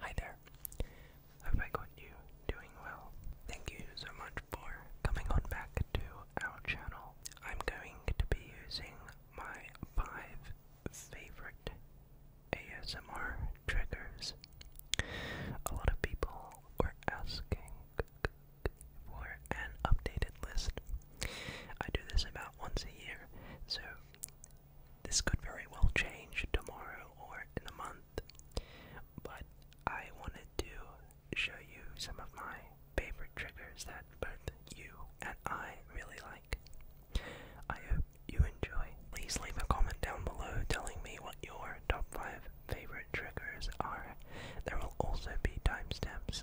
Hi there. Hope I got you doing well. Thank you so much for coming on back to our channel. I'm going to be using my five favorite ASMR triggers. A lot of people were asking for an updated list. I do this about once a year, so this could very well change tomorrow or in a month. But I wanted to show you some of my favorite triggers that both you and I really like. I hope you enjoy. Please leave a comment down below telling me what your top 5 favorite triggers are. There will also be timestamps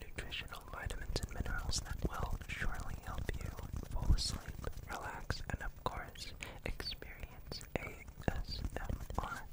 nutritional vitamins and minerals that will surely help you fall asleep, relax, and of course, experience ASMR. Relax,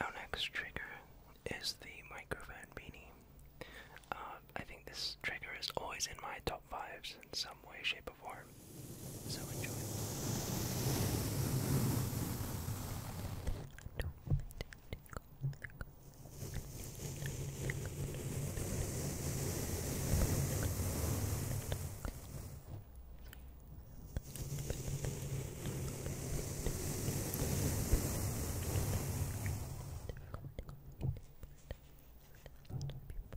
Our next trigger is the microphone beanie. Uh, I think this trigger is always in my top fives in some way, shape, or form. So enjoy.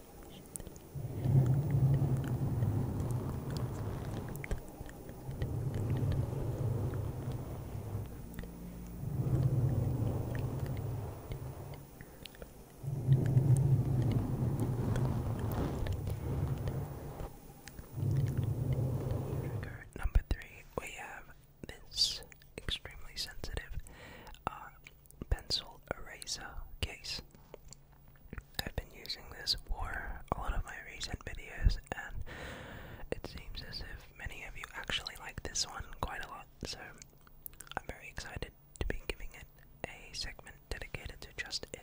Trigger number three, we have this extremely sensitive uh, pencil eraser case. I've been using this for a lot of my recent videos, and it seems as if many of you actually like this one quite a lot, so I'm very excited to be giving it a segment dedicated to just it.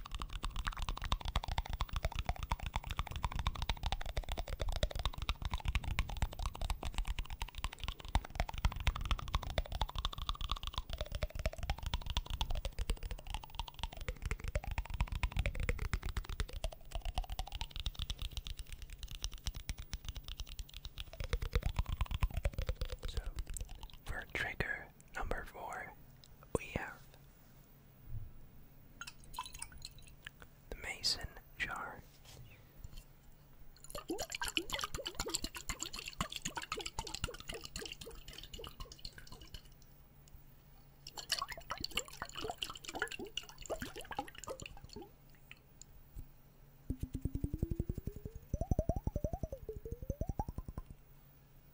for trigger number four, we have the mason jar.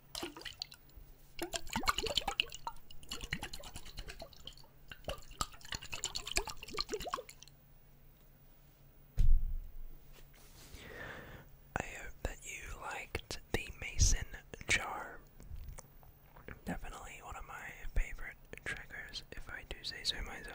I hope that you liked the Mason jar. Definitely one of my favorite triggers, if I do say so myself.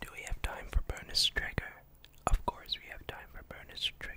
Do we have time for bonus trigger? Of course, we have time for bonus trigger.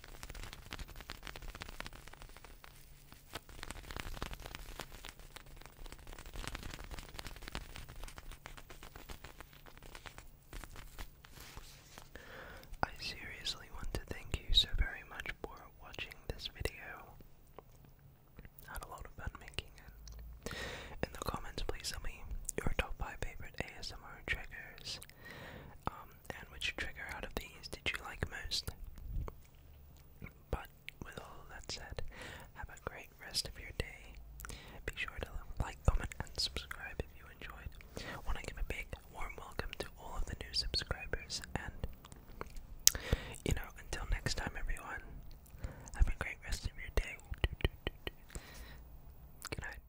I seriously want to thank you so very much for watching this video. Had a lot of fun making it. In the comments, please tell me your top 5 favorite ASMR triggers. Um, and which trigger out of these did you like most? But with all that said, have a great rest of your day. Be sure to like, comment, and subscribe if you enjoyed. Want to give a big warm welcome to all of the new subscribers, and you know, until next time, everyone, have a great rest of your day. Good night.